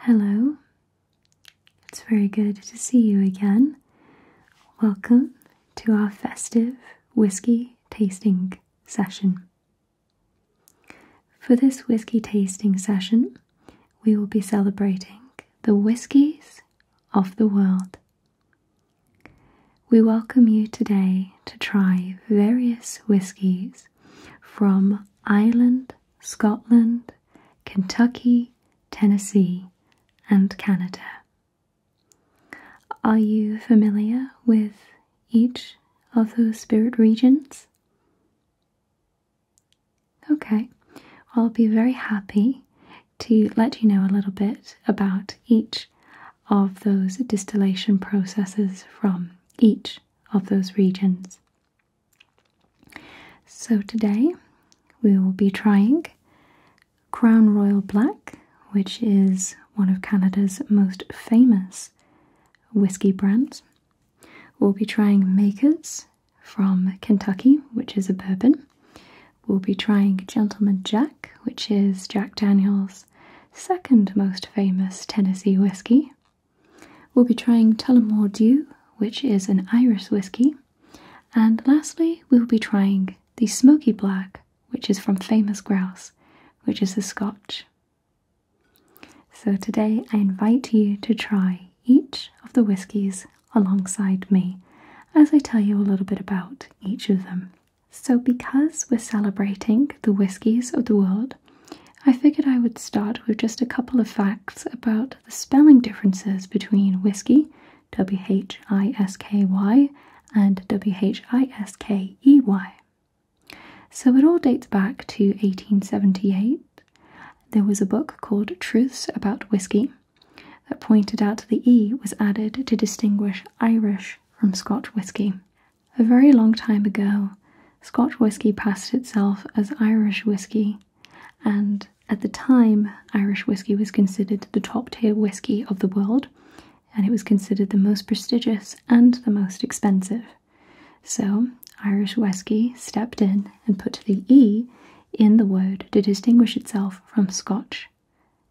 Hello. It's very good to see you again. Welcome to our festive whiskey tasting session. For this whiskey tasting session, we will be celebrating the whiskies of the world. We welcome you today to try various whiskies from Ireland Scotland, Kentucky, Tennessee, and Canada. Are you familiar with each of those spirit regions? Okay, I'll be very happy to let you know a little bit about each of those distillation processes from each of those regions. So today we will be trying Crown Royal Black, which is one of Canada's most famous whiskey brands. We'll be trying Makers from Kentucky, which is a bourbon. We'll be trying Gentleman Jack, which is Jack Daniel's second most famous Tennessee whiskey. We'll be trying Tullamore Dew, which is an Irish whiskey. And lastly, we'll be trying the Smoky Black, which is from Famous Grouse, which is a Scotch. So today I invite you to try each of the whiskies alongside me as I tell you a little bit about each of them. So, because we're celebrating the whiskies of the world, I figured I would start with just a couple of facts about the spelling differences between whiskey, W H I S K Y, and W H I S K E Y. So it all dates back to 1878. There was a book called Truths About Whiskey that pointed out the E was added to distinguish Irish from Scotch whiskey. A very long time ago, Scotch whisky passed itself as Irish whisky, and at the time, Irish whisky was considered the top tier whisky of the world, and it was considered the most prestigious and the most expensive. So, Irish whisky stepped in and put the E in the word to distinguish itself from Scotch,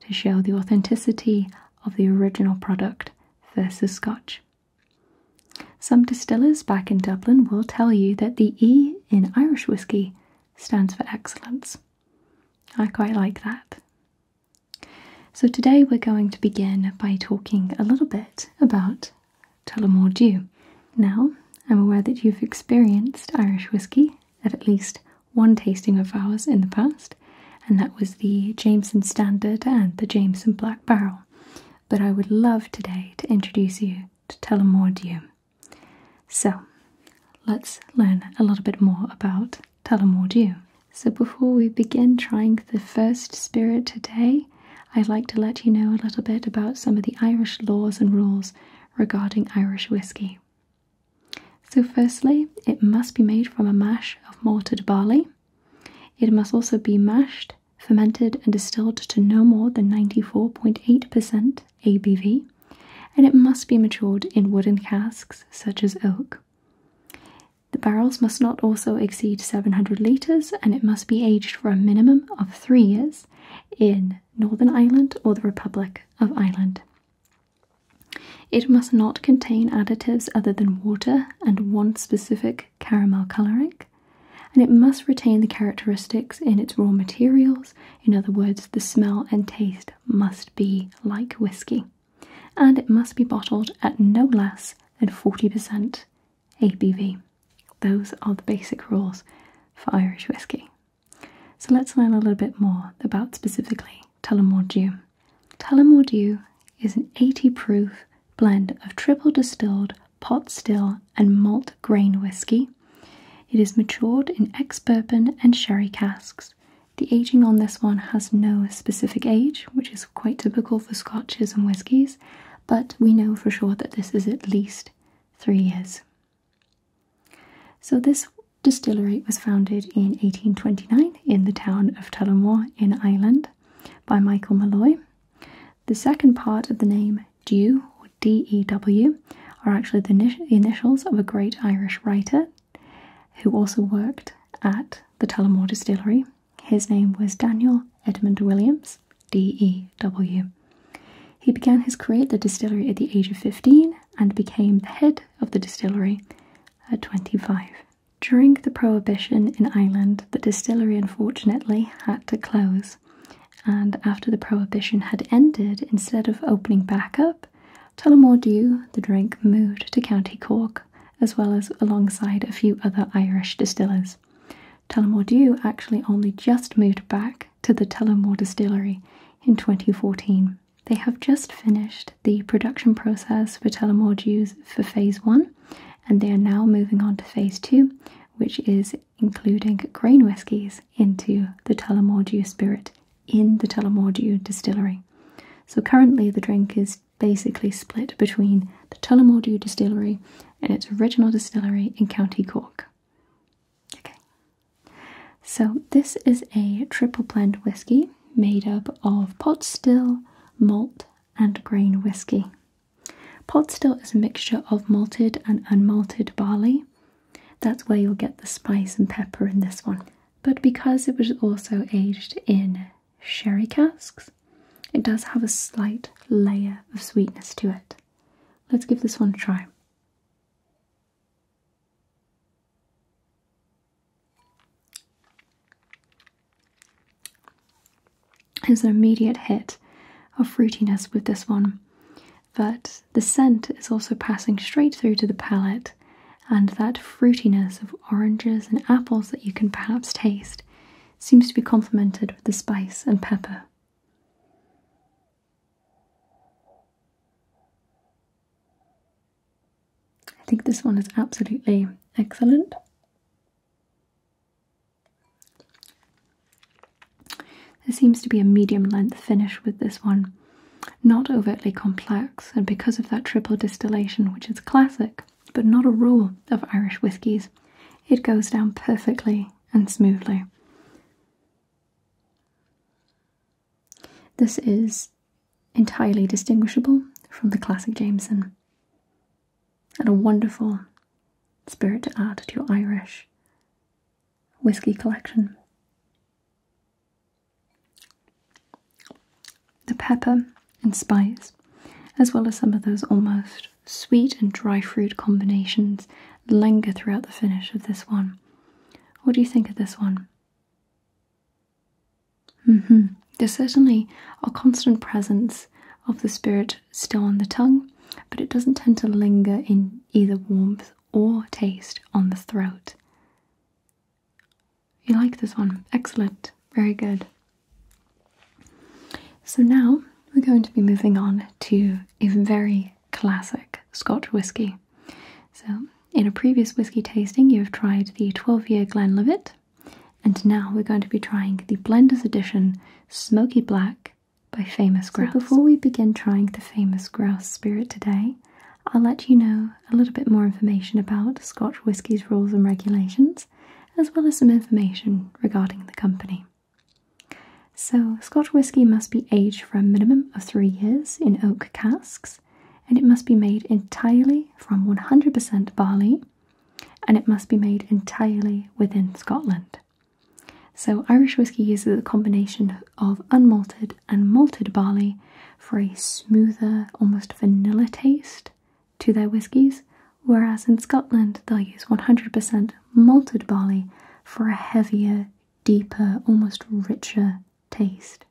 to show the authenticity of the original product versus Scotch. Some distillers back in Dublin will tell you that the E in Irish whiskey stands for excellence. I quite like that. So today we're going to begin by talking a little bit about Tullamore Dew. Now, I'm aware that you've experienced Irish whiskey at at least one tasting of ours in the past, and that was the Jameson Standard and the Jameson Black Barrel but I would love today to introduce you to Telemordium. So, let's learn a little bit more about Telemordium. So, before we begin trying the first spirit today, I'd like to let you know a little bit about some of the Irish laws and rules regarding Irish whiskey. So, firstly, it must be made from a mash of malted barley. It must also be mashed, fermented, and distilled to no more than 94.8% ABV, and it must be matured in wooden casks such as oak. The barrels must not also exceed 700 litres and it must be aged for a minimum of three years in Northern Ireland or the Republic of Ireland. It must not contain additives other than water and one specific caramel colouring, and it must retain the characteristics in its raw materials. In other words, the smell and taste must be like whiskey, and it must be bottled at no less than 40% ABV. Those are the basic rules for Irish whiskey. So let's learn a little bit more about specifically Tullamore Dew. Tullamore Dew is an 80 proof blend of triple distilled, pot still, and malt grain whisky. It is matured in ex bourbon and sherry casks. The aging on this one has no specific age, which is quite typical for scotches and whiskies, but we know for sure that this is at least three years. So, this distillery was founded in 1829 in the town of Tullamore in Ireland by Michael Malloy, the second part of the name Dew or D-E-W are actually the initials of a great Irish writer who also worked at the Tullamore Distillery. His name was Daniel Edmund Williams, D-E-W. He began his career at the distillery at the age of 15 and became the head of the distillery at 25. During the Prohibition in Ireland, the distillery unfortunately had to close. And after the prohibition had ended, instead of opening back up, Tullamore Dew, the drink, moved to County Cork, as well as alongside a few other Irish distillers. Tullamore Dew actually only just moved back to the Tullamore Distillery in 2014. They have just finished the production process for Tullamore Dews for Phase 1, and they are now moving on to phase two, which is including grain whiskies into the Tullamore Dew spirit in the Tullamore Dew distillery. So currently, the drink is basically split between the Tullamore Dew distillery and its original distillery in County Cork. Okay. So this is a triple blend whisky made up of pot still, malt, and grain whisky. Pot still is a mixture of malted and unmalted barley. That's where you'll get the spice and pepper in this one. But because it was also aged in sherry casks, it does have a slight layer of sweetness to it. Let's give this one a try. There's an immediate hit of fruitiness with this one, but the scent is also passing straight through to the palate, and that fruitiness of oranges and apples that you can perhaps taste seems to be complemented with the spice and pepper. I think this one is absolutely excellent. There seems to be a medium length finish with this one, not overtly complex, and because of that triple distillation, which is classic but not a rule of Irish whiskies, it goes down perfectly and smoothly. This is entirely distinguishable from the classic Jameson and a wonderful spirit to add to your Irish whiskey collection. The pepper and spice, as well as some of those almost sweet and dry fruit combinations, linger throughout the finish of this one. What do you think of this one? Mm-hmm. There's certainly a constant presence of the spirit still on the tongue, but it doesn't tend to linger in either warmth or taste on the throat. You like this one? Excellent. Very good. So now we're going to be moving on to a very classic Scotch whisky. So, in a previous whisky tasting, you have tried the 12 year Glenlivet, and now we're going to be trying the Blender's Edition Smoky Black by Famous Grouse. So before we begin trying the Famous Grouse Spirit today, I'll let you know a little bit more information about Scotch whisky's rules and regulations, as well as some information regarding the company. So, Scotch whisky must be aged for a minimum of three years in oak casks, and it must be made entirely from 100% barley and it must be made entirely within Scotland. So, Irish whiskey uses a combination of unmalted and malted barley for a smoother, almost vanilla taste to their whiskies, whereas in Scotland they'll use 100% malted barley for a heavier, deeper, almost richer taste.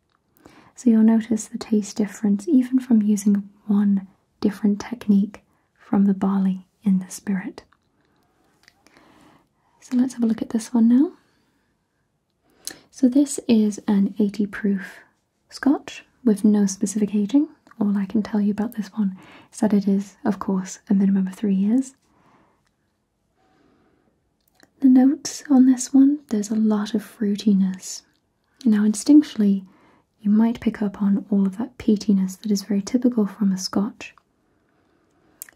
So, you'll notice the taste difference even from using one different technique from the barley in the spirit. So let's have a look at this one now. So this is an 80 proof scotch with no specific aging. All I can tell you about this one is that it is, of course, a minimum of three years. The notes on this one, there's a lot of fruitiness. Now, instinctually, you might pick up on all of that peatiness that is very typical from a scotch.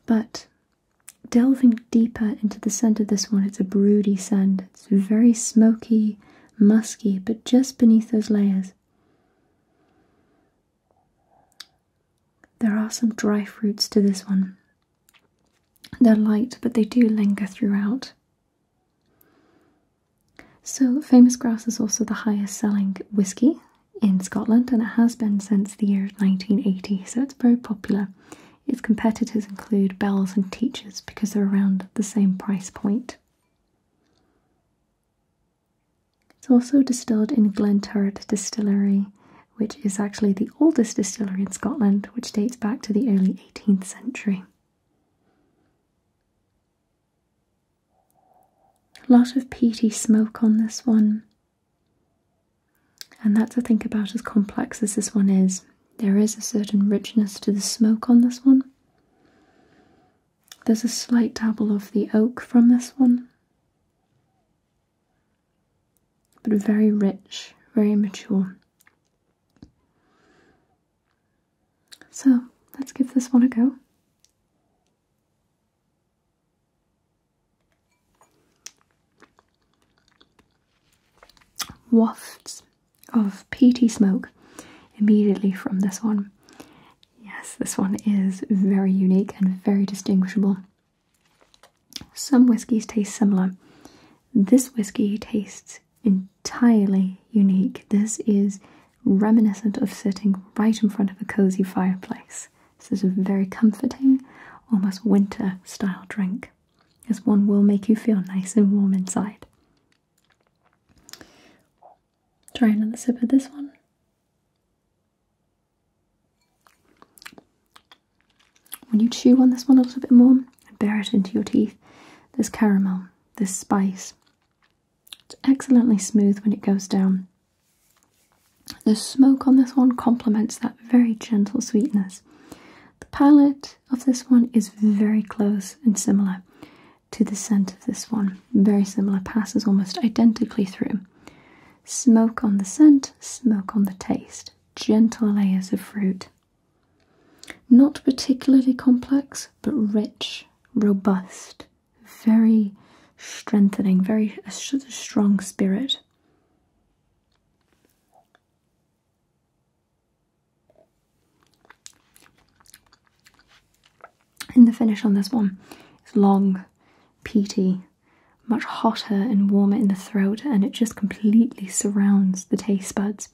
But delving deeper into the scent of this one, it's a broody scent. It's very smoky, musky, but just beneath those layers. There are some dry fruits to this one. They're light, but they do linger throughout. So, Famous Grass is also the highest selling whisky in Scotland and it has been since the year 1980, so it's very popular. Its competitors include Bells and Teachers because they're around the same price point. It's also distilled in Glenturret Distillery, which is actually the oldest distillery in Scotland, which dates back to the early 18th century. A lot of peaty smoke on this one. And that's, I think, about as complex as this one is. There is a certain richness to the smoke on this one. There's a slight dabble of the oak from this one. But very rich, very mature. So let's give this one a go. Wafts of peaty smoke immediately from this one. Yes, this one is very unique and very distinguishable. Some whiskies taste similar. This whiskey tastes entirely unique. This is reminiscent of sitting right in front of a cozy fireplace. This is a very comforting, almost winter style drink, as one will make you feel nice and warm inside. Try another sip of this one. When you chew on this one a little bit more and bear it into your teeth, this caramel, this spice, it's excellently smooth when it goes down. The smoke on this one complements that very gentle sweetness. The palette of this one is very close and similar to the scent of this one. Very similar, passes almost identically through. Smoke on the scent, smoke on the taste. Gentle layers of fruit. Not particularly complex, but rich robust, very strengthening, very a strong spirit. And the finish on this one is long, peaty, much hotter and warmer in the throat, and it just completely surrounds the taste buds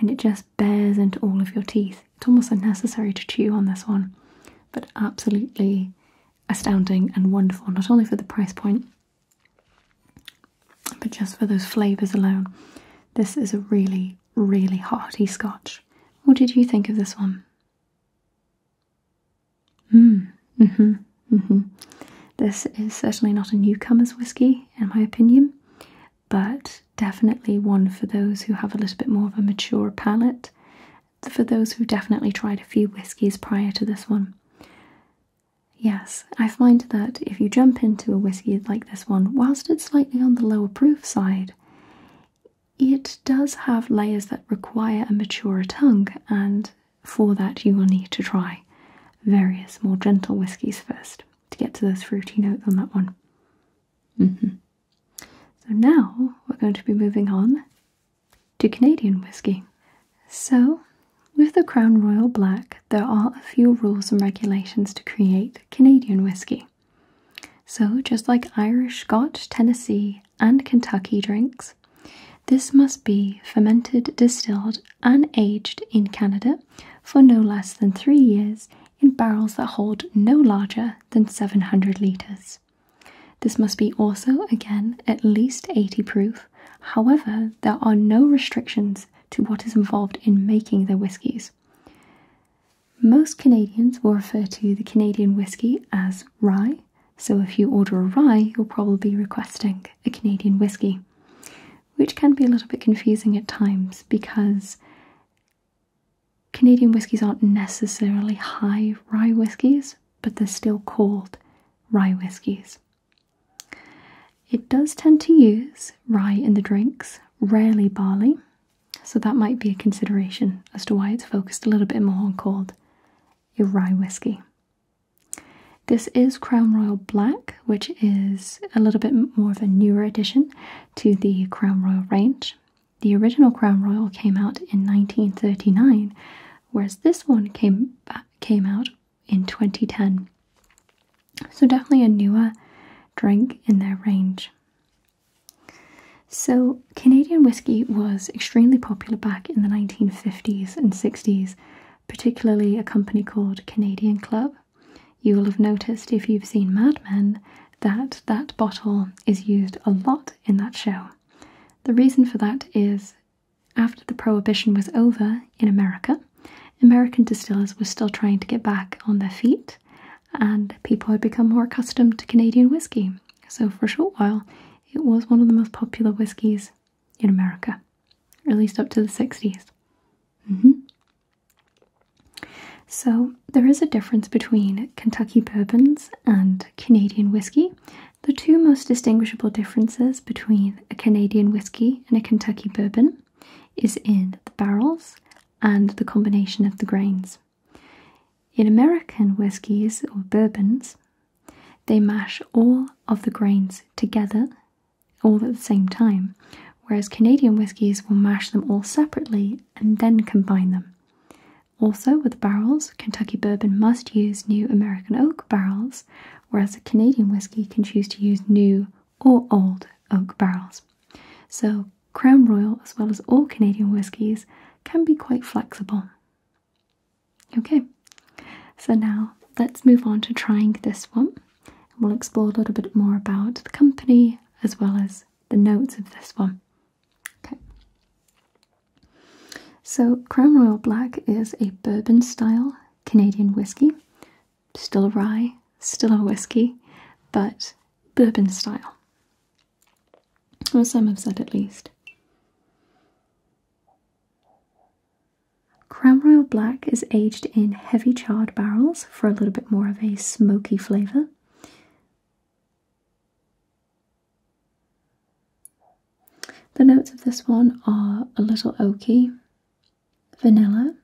and it just bears into all of your teeth. It's almost unnecessary to chew on this one, but absolutely astounding and wonderful, not only for the price point, but just for those flavours alone. This is a really, really hearty scotch. What did you think of this one? hmm mm-hmm, mm-hmm. This is certainly not a newcomer's whiskey, in my opinion but definitely one for those who have a little bit more of a mature palate, for those who definitely tried a few whiskies prior to this one. Yes, I find that if you jump into a whisky like this one, whilst it's slightly on the lower proof side, it does have layers that require a maturer tongue, and for that, you will need to try various more gentle whiskies first to get to those fruity notes on that one. Mm-hmm. So now we're going to be moving on to Canadian whiskey. So, with the Crown Royal Black, there are a few rules and regulations to create Canadian whiskey. So, just like Irish, Scotch, Tennessee, and Kentucky drinks, this must be fermented, distilled, and aged in Canada for no less than three years in barrels that hold no larger than 700 litres. This must be also, again, at least 80 proof. However, there are no restrictions to what is involved in making the whiskies. Most Canadians will refer to the Canadian whisky as rye, so if you order a rye, you'll probably be requesting a Canadian whisky, which can be a little bit confusing at times because Canadian whiskeys aren't necessarily high rye whiskeys, but they're still called rye whiskeys. It does tend to use rye in the drinks, rarely barley, so that might be a consideration as to why it's focused a little bit more on called a rye whiskey. This is Crown Royal Black, which is a little bit more of a newer edition, to the Crown Royal range. The original Crown Royal came out in 1939, whereas this one came uh, came out in 2010. So definitely a newer drink in their range. So Canadian whiskey was extremely popular back in the 1950s and 60s, particularly a company called Canadian Club you will have noticed if you've seen Mad Men that that bottle is used a lot in that show. The reason for that is after the prohibition was over in America, American distillers were still trying to get back on their feet and people had become more accustomed to Canadian whiskey. So for a short while, it was one of the most popular whiskies in America, at least up to the 60s. So, there is a difference between Kentucky bourbons and Canadian whiskey. The two most distinguishable differences between a Canadian whiskey and a Kentucky bourbon is in the barrels and the combination of the grains. In American whiskies or bourbons, they mash all of the grains together all at the same time, whereas Canadian whiskies will mash them all separately and then combine them. Also, with barrels, Kentucky bourbon must use new American oak barrels, whereas Canadian whiskey can choose to use new or old oak barrels. So, Crown Royal, as well as all Canadian whiskies, can be quite flexible. Okay, so now let's move on to trying this one. We'll explore a little bit more about the company as well as the notes of this one. Okay. So Crown Royal Black is a bourbon style Canadian whiskey. Still a rye, still a whiskey, but bourbon style. Or some have said at least. Crown Royal Black is aged in heavy charred barrels for a little bit more of a smoky flavour. The notes of this one are a little oaky, vanilla,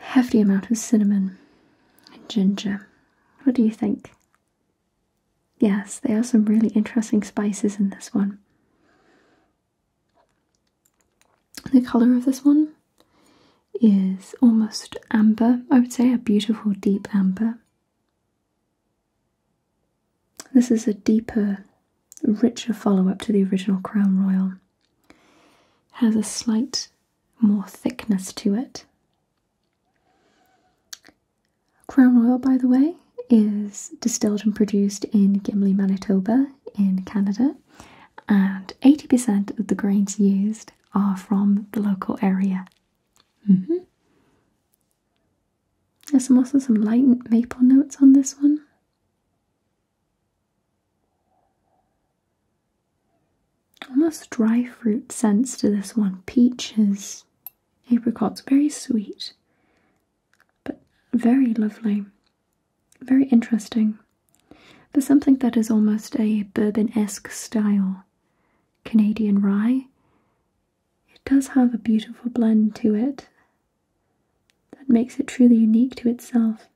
hefty amount of cinnamon, and ginger. What do you think? Yes, there are some really interesting spices in this one. The colour of this one is almost amber, I would say, a beautiful deep amber. This is a deeper, richer follow up to the original Crown Royal. It has a slight more thickness to it. Crown Royal, by the way, is distilled and produced in Gimli, Manitoba, in Canada and 80% of the grains used are from the local area. Mm-hmm. There's also some light maple notes on this one. Almost dry fruit sense to this one. Peaches, apricots, very sweet, but very lovely. Very interesting. There's something that is almost a bourbon esque style, Canadian rye, it does have a beautiful blend to it that makes it truly unique to itself.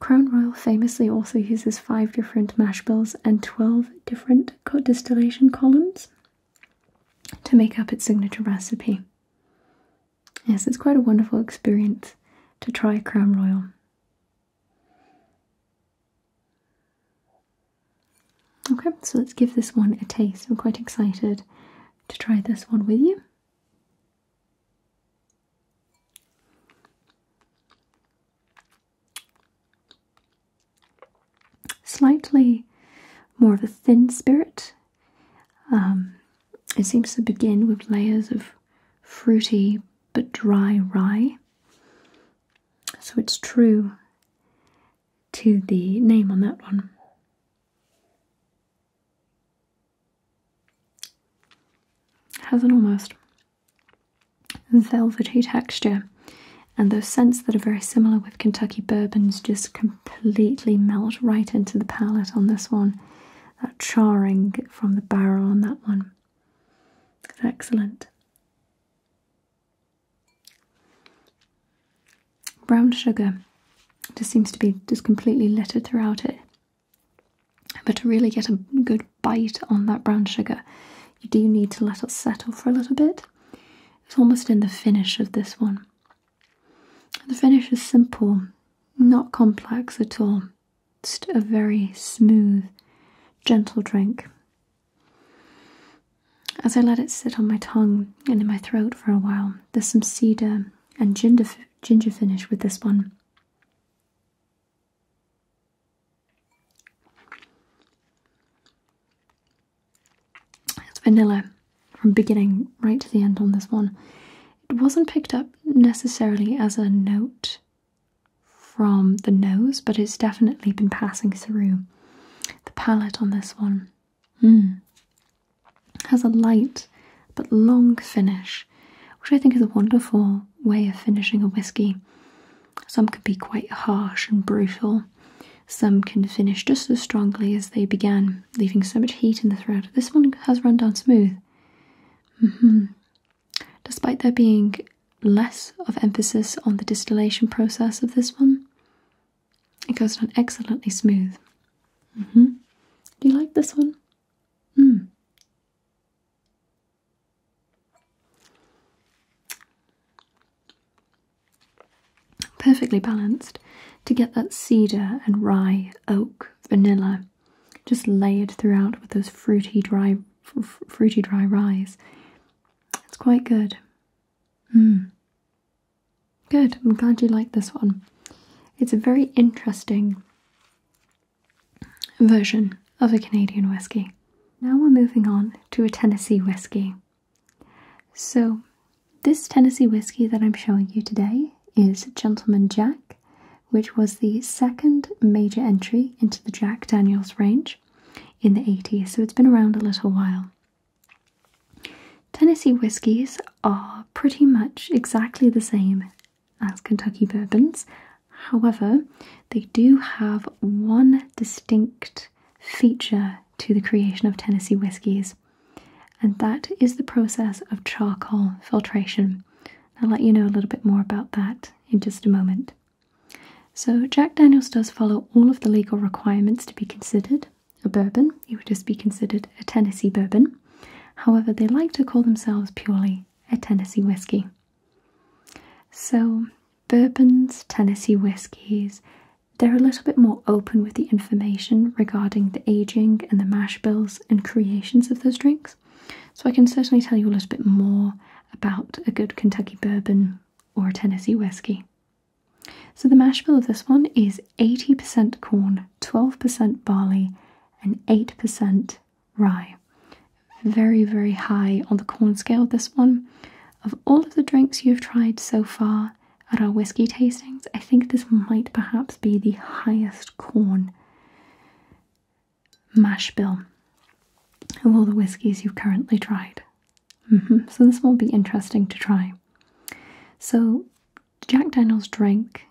Crown Royal famously also uses five different mash bills and 12 different distillation columns to make up its signature recipe. Yes, it's quite a wonderful experience to try Crown Royal. Okay, so let's give this one a taste. I'm quite excited to try this one with you. Slightly more of a thin spirit um, it seems to begin with layers of fruity but dry rye. So it's true to the name on that one. Has an almost velvety texture and those scents that are very similar Kentucky bourbons just completely melt right into the palate on this one. That charring from the barrel on that one. It's excellent. Brown sugar just seems to be just completely littered throughout it. But to really get a good bite on that brown sugar, you do need to let it settle for a little bit. It's almost in the finish of this one. The finish is simple, not complex at all, just a very smooth, gentle drink. As I let it sit on my tongue and in my throat for a while, there's some cedar and ginger, ginger finish with this one. It's vanilla from beginning right to the end on this one. It wasn't picked up necessarily as a note from the nose, but it's definitely been passing through the palate on this one. Hmm. Has a light but long finish, which I think is a wonderful way of finishing a whiskey. Some can be quite harsh and brutal. Some can finish just as strongly as they began leaving so much heat in the throat. This one has run down smooth. Mm-hmm. Despite there being less of emphasis on the distillation process of this one, it goes down excellently smooth. Mm-hmm. Do you like this one? Mm perfectly balanced to get that cedar and rye, oak, vanilla just layered throughout with those fruity dry fruity dry ryes. It's quite good. Mm. Good. I'm glad you like this one. It's a very interesting version of a Canadian whiskey. Now we're moving on to a Tennessee whiskey. So, this Tennessee whiskey that I'm showing you today is Gentleman Jack, which was the second major entry into the Jack Daniels range in the 80s, so it's been around a little while. Tennessee whiskies are pretty much exactly the same as Kentucky bourbons. However, they do have one distinct feature to the creation of Tennessee whiskies, and that is the process of charcoal filtration. I'll let you know a little bit more about that in just a moment. So, Jack Daniels does follow all of the legal requirements to be considered a bourbon, it would just be considered a Tennessee bourbon. However, they like to call themselves purely a Tennessee whiskey. So, bourbons, Tennessee whiskies, they're a little bit more open with the information regarding the aging and the mash bills and creations of those drinks. So I can certainly tell you a little bit more about a good Kentucky bourbon or a Tennessee whiskey. So the mash bill of this one is 80% corn, 12% barley, and 8% rye. Very, very high on the corn scale, this one. Of all of the drinks you've tried so far, at our whiskey tastings. I think this might perhaps be the highest corn mash bill of all the whiskies you've currently tried. Mm-hmm. So, this will be interesting to try. So, Jack Daniel's drink,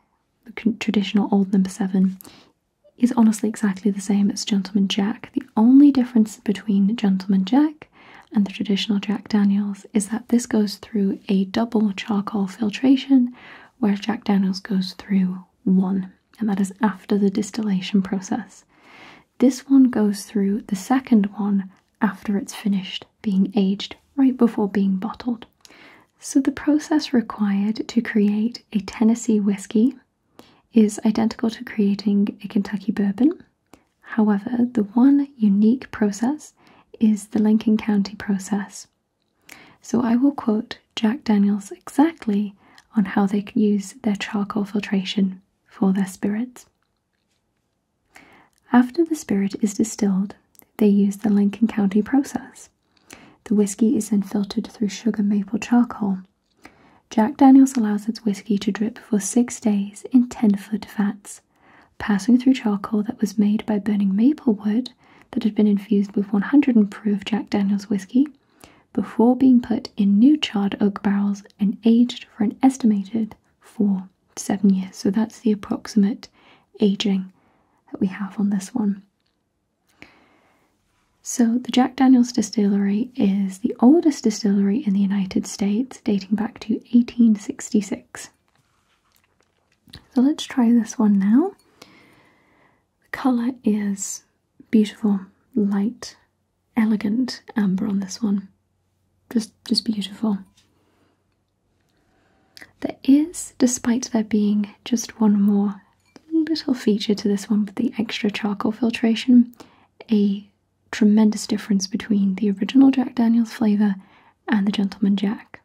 traditional Old Number 7, is honestly exactly the same as Gentleman Jack. The only difference between Gentleman Jack and the traditional Jack Daniels is that this goes through a double charcoal filtration, where Jack Daniels goes through one, and that is after the distillation process. This one goes through the second one after it's finished being aged, right before being bottled. So, the process required to create a Tennessee whiskey is identical to creating a Kentucky bourbon. However, the one unique process is the Lincoln County process. So I will quote Jack Daniels exactly on how they use their charcoal filtration for their spirits. After the spirit is distilled, they use the Lincoln County process. The whiskey is then filtered through sugar maple charcoal. Jack Daniels allows its whiskey to drip for six days in 10 foot vats passing through charcoal that was made by burning maple wood that had been infused with 100 proof Jack Daniels whiskey before being put in new charred oak barrels and aged for an estimated four to seven years. So that's the approximate aging that we have on this one. So, the Jack Daniels Distillery is the oldest distillery in the United States, dating back to 1866. So let's try this one now. The colour is beautiful, light, elegant amber on this one. Just just beautiful. There is, despite there being just one more little feature to this one with the extra charcoal filtration, a tremendous difference between the original Jack Daniels flavour and the Gentleman Jack.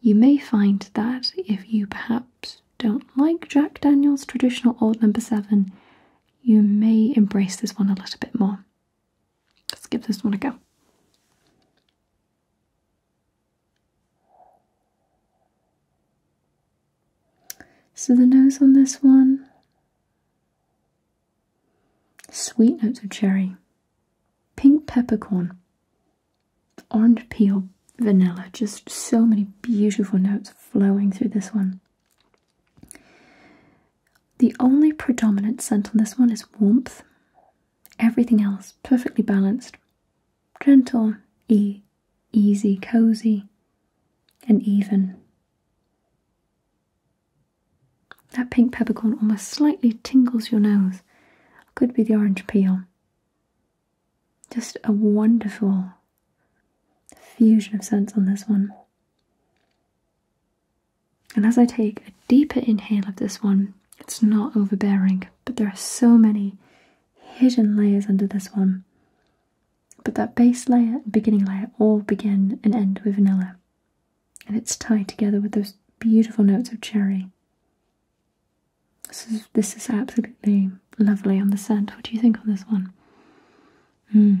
You may find that if you perhaps don't like Jack Daniel's traditional old number seven, you may embrace this one a little bit more. Let's give this one a go. So the nose on this one sweet notes of cherry, pink peppercorn, orange peel, vanilla. Just so many beautiful notes flowing through this one. The only predominant scent on this one is warmth. Everything else perfectly balanced, gentle, e easy, cozy, and even. That pink peppercorn almost slightly tingles your nose. Could be the orange peel. Just a wonderful fusion of scents on this one. And as I take a deeper inhale of this one, it's not overbearing, but there are so many hidden layers under this one. But that base layer and beginning layer all begin and end with vanilla and it's tied together with those beautiful notes of cherry. This is, this is absolutely lovely on the scent. What do you think on this one? Hmm.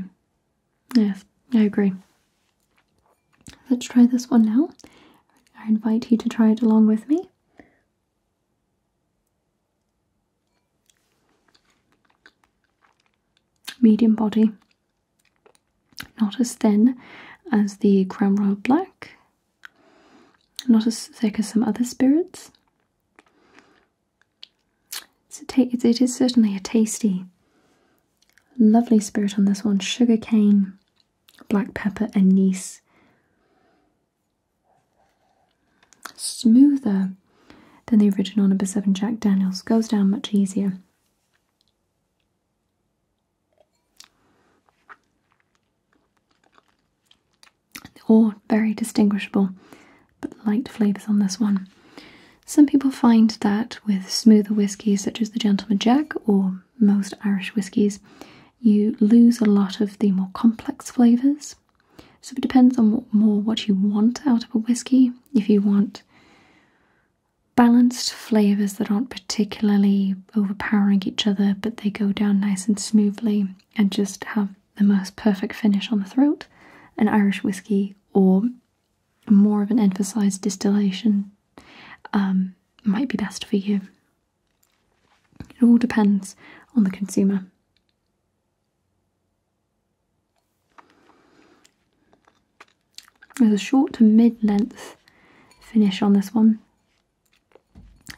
Yes, I agree. Let's try this one now. I invite you to try it along with me. Medium body, not as thin as the creme Royal Black, not as thick as some other spirits. It's certainly a tasty, lovely spirit on this one sugar cane, black pepper, and anise. Smoother than the original number 7 Jack Daniels, goes down much easier. All very distinguishable, but light flavours on this one. Some people find that with smoother whiskies, such as the Gentleman Jack or most Irish whiskies, you lose a lot of the more complex flavours. So it depends on more what you want out of a whisky. If you want balanced flavors that aren't particularly overpowering each other, but they go down nice and smoothly and just have the most perfect finish on the throat. An Irish whiskey or more of an emphasized distillation um, might be best for you. It all depends on the consumer. There's a short to mid-length finish on this one.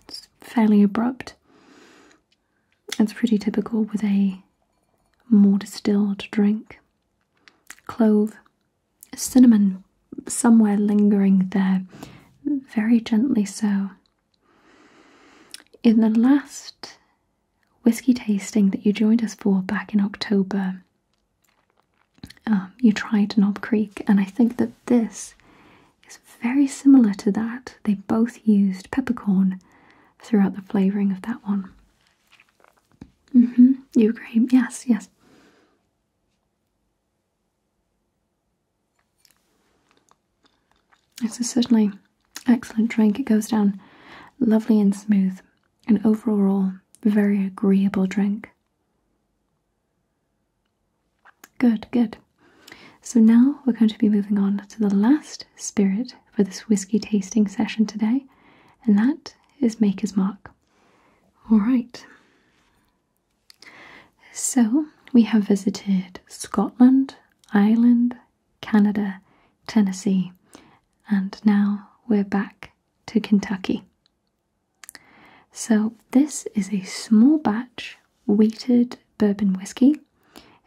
It's fairly abrupt. It's pretty typical with a more distilled drink. Clove, cinnamon somewhere lingering there, very gently so. In the last whisky tasting that you joined us for back in October, um, you tried Knob Creek, and I think that this is very similar to that. They both used peppercorn throughout the flavouring of that one. Mm hmm, you agree? Yes, yes. It's a certainly excellent drink. It goes down lovely and smooth an overall very agreeable drink. Good, good. So now we're going to be moving on to the last spirit for this whiskey tasting session today, and that is Maker's Mark. All right. So we have visited Scotland, Ireland, Canada, Tennessee, and now we're back to Kentucky. So, this is a small batch weighted bourbon whiskey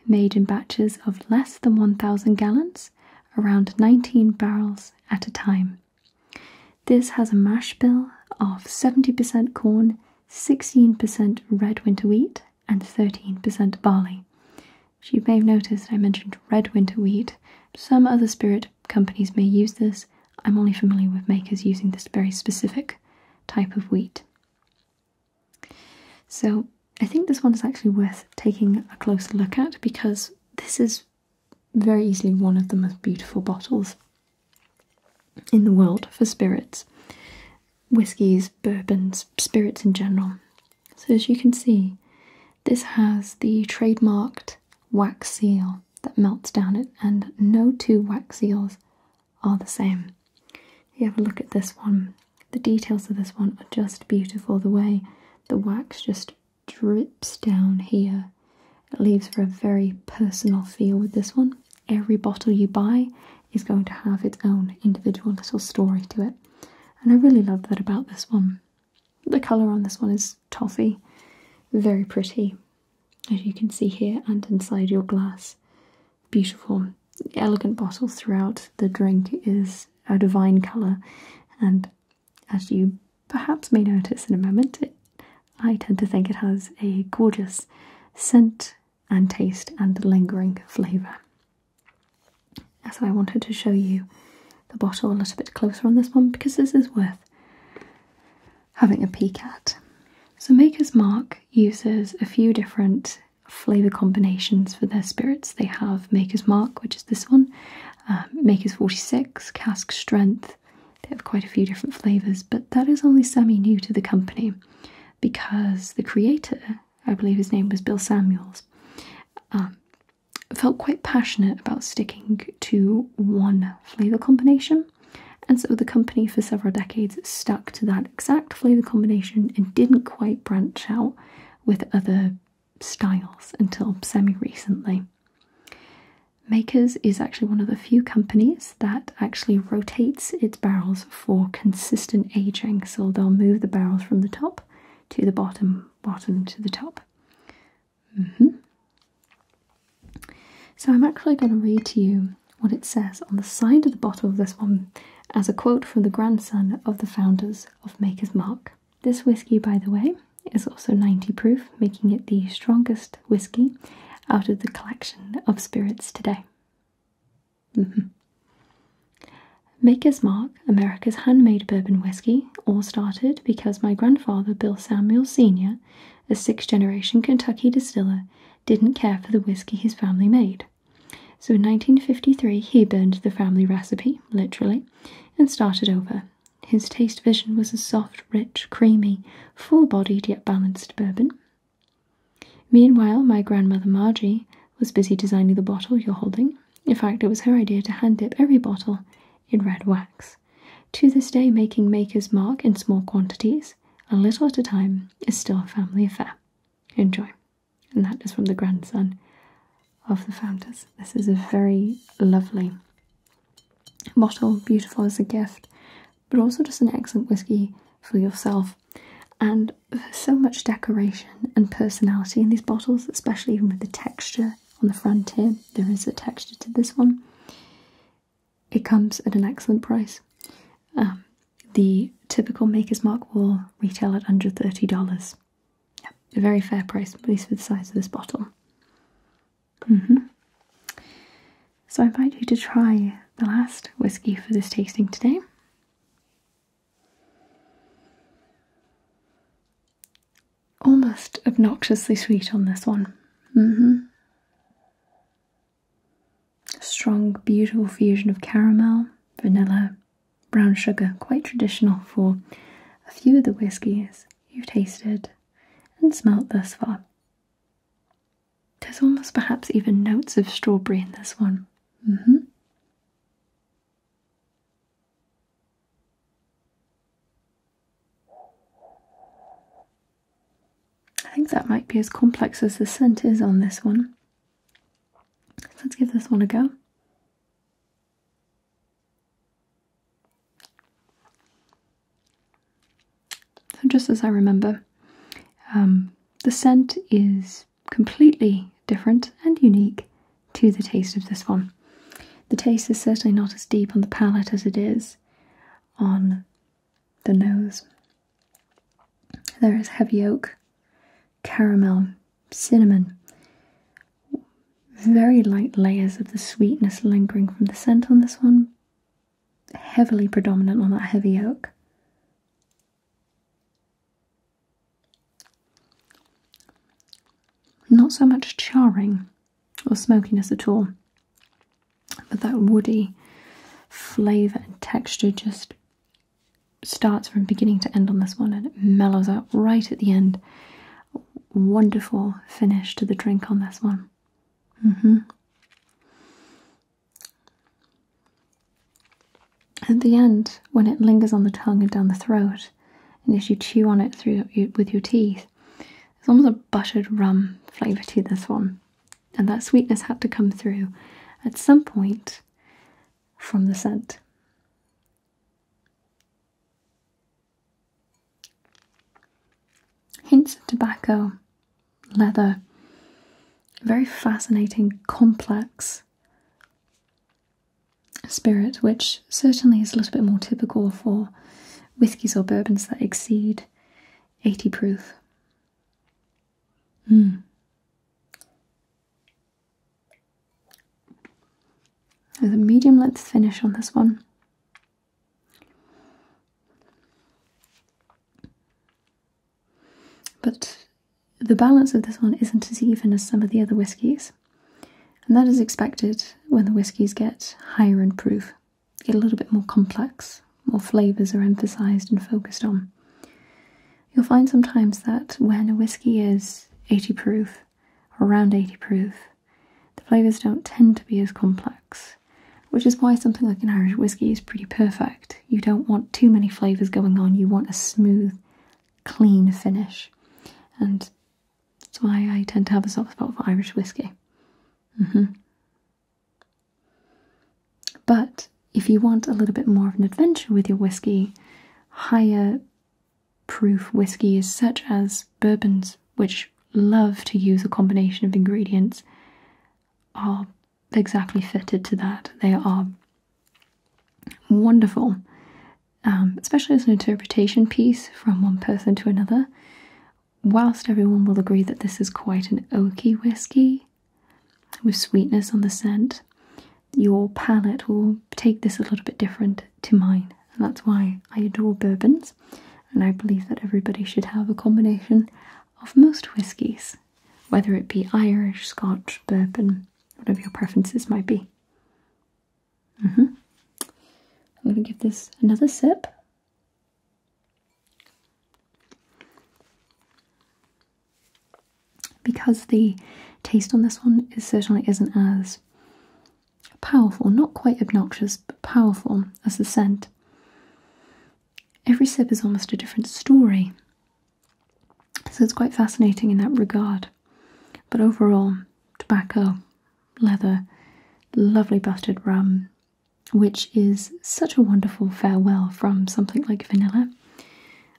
made in batches of less than 1,000 gallons, around 19 barrels at a time. This has a mash bill of 70% corn, 16% red winter wheat, and 13% barley. So you may have noticed I mentioned red winter wheat some other spirit companies may use this. I'm only familiar with makers using this very specific type of wheat. So I think this one is actually worth taking a closer look at because this is very easily one of the most beautiful bottles in the world for spirits. Whiskies, bourbons, spirits in general. So as you can see, this has the trademarked wax seal that melts down it, and no two wax seals are the same. If you have a look at this one, the details of this one are just beautiful. The way the wax just drips down here, it leaves for a very personal feel with this one. Every bottle you buy is going to have its own individual little story to it, and I really love that about this one. The colour on this one is toffee, very pretty, as you can see here and inside your glass. Beautiful, elegant bottle throughout. The drink is a divine colour, and as you perhaps may notice in a moment, I tend to think it has a gorgeous scent and taste and lingering flavour so I wanted to show you the bottle a little bit closer on this one because this is worth having a peek at. So Maker's Mark uses a few different flavour combinations for their spirits. They have Maker's Mark, which is this one, um, Maker's 46, Cask Strength. They have quite a few different flavours, but that is only semi-new to the company because the creator, I believe his name was Bill Samuels, um, felt quite passionate about sticking to one flavour combination, and so the company for several decades stuck to that exact flavour combination and didn't quite branch out with other styles until semi recently. Makers is actually one of the few companies that actually rotates its barrels for consistent aging, so they'll move the barrels from the top to the bottom, bottom to the top. Mm-hmm. So I'm actually going to read to you what it says on the side of the bottle of this one as a quote from the grandson of the founders of Maker's Mark. This whiskey, by the way, is also 90 proof, making it the strongest whiskey out of the collection of spirits today. Mm-hmm. Maker's Mark America's handmade bourbon whiskey all started because my grandfather, Bill Samuels Sr., a sixth generation Kentucky distiller, didn't care for the whiskey his family made. So in 1953, he burned the family recipe, literally, and started over. His taste vision was a soft, rich, creamy, full bodied yet balanced bourbon. Meanwhile, my grandmother Margie was busy designing the bottle you're holding in fact, it was her idea to hand dip every bottle in red wax. To this day, making Maker's Mark in small quantities, a little at a time, is still a family affair. Enjoy. And that is from the grandson of the founders. This is a very lovely bottle, beautiful as a gift, but also just an excellent whiskey for yourself. And so much decoration and personality in these bottles, especially even with the texture on the front here, there is a texture to this one. It comes at an excellent price. Um, the typical Maker's Mark will retail at under $30. a very fair price, at least for the size of this bottle. Mm-hmm. So I invite you to try the last whiskey for this tasting today almost obnoxiously sweet on this one. Mm-hmm. Strong, beautiful fusion of caramel, vanilla, brown sugar, quite traditional for a few of the whiskies you've tasted and smelt thus far. There's almost perhaps even notes of strawberry in this one. Mm-hmm. I think that might be as complex as the scent is on this one. Let's give this one a go. So, just as I remember, um, the scent is completely different and unique to the taste of this one. The taste is certainly not as deep on the palate as it is on the nose. There is heavy oak, caramel, cinnamon, very light layers of the sweetness lingering from the scent on this one, heavily predominant on that heavy oak. Not so much charring or smokiness at all, but that woody flavour and texture just starts from beginning to end on this one and it mellows out right at the end. Wonderful finish to the drink on this one. Mm-hmm. At the end, when it lingers on the tongue and down the throat, and as you chew on it through with your teeth there's almost a buttered rum flavour to this one and that sweetness had to come through at some point from the scent hints of tobacco leather very fascinating complex spirit, which certainly is a little bit more typical for whiskies or bourbons that exceed 80 proof. Mm. There's a medium length finish on this one. But the balance of this one isn't as even as some of the other whiskies. And that is expected when the whiskies get higher in proof, get a little bit more complex, more flavours are emphasised and focused on. You'll find sometimes that when a whisky is 80 proof or around 80 proof, the flavours don't tend to be as complex, which is why something like an Irish whisky is pretty perfect. You don't want too many flavours going on, you want a smooth, clean finish. And that's why I tend to have a soft spot for Irish whiskey. Mm-hmm. But if you want a little bit more of an adventure with your whiskey, higher proof whiskies such as bourbons, which love to use a combination of ingredients, are exactly fitted to that. They are wonderful um, especially as an interpretation piece from one person to another. Whilst everyone will agree that this is quite an oaky whiskey with sweetness on the scent, your palate will take this a little bit different to mine, and that's why I adore bourbons. And I believe that everybody should have a combination of most whiskies, whether it be Irish, Scotch, bourbon, whatever your preferences might be. Mm -hmm. I'm gonna give this another sip. Because the taste on this one is certainly isn't as powerful, not quite obnoxious, but powerful as the scent. Every sip is almost a different story. So it's quite fascinating in that regard. But overall, tobacco, leather, lovely buttered rum, which is such a wonderful farewell from something like vanilla.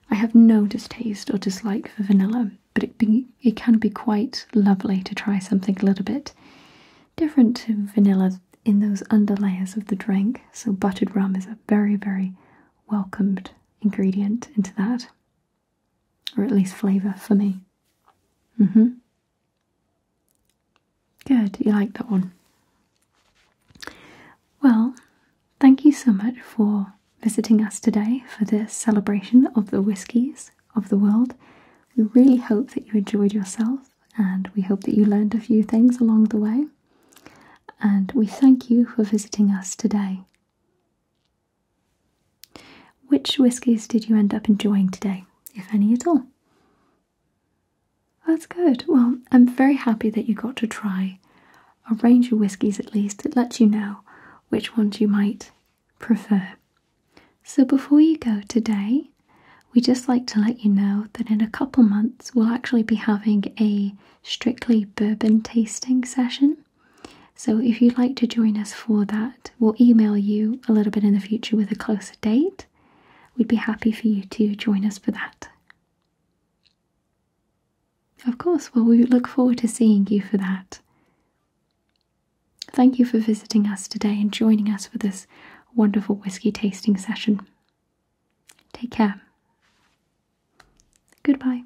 I have no distaste or dislike for vanilla, but it, it can be quite lovely to try something a little bit different to vanilla in those underlayers of the drink. So, buttered rum is a very, very welcomed ingredient into that or at least flavour for me. hmm. Good, you like that one. Well, thank you so much for visiting us today for this celebration of the whiskies of the world. We really hope that you enjoyed yourself and we hope that you learned a few things along the way. And we thank you for visiting us today. Which whiskies did you end up enjoying today, if any at all? That's good. Well, I'm very happy that you got to try a range of whiskies at least. It lets you know which ones you might prefer. So, before you go today, we just like to let you know that in a couple months we'll actually be having a strictly bourbon tasting session. So if you'd like to join us for that, we'll email you a little bit in the future with a closer date. We'd be happy for you to join us for that. Of course, well, we look forward to seeing you for that. Thank you for visiting us today and joining us for this wonderful whisky tasting session. Take care. Goodbye.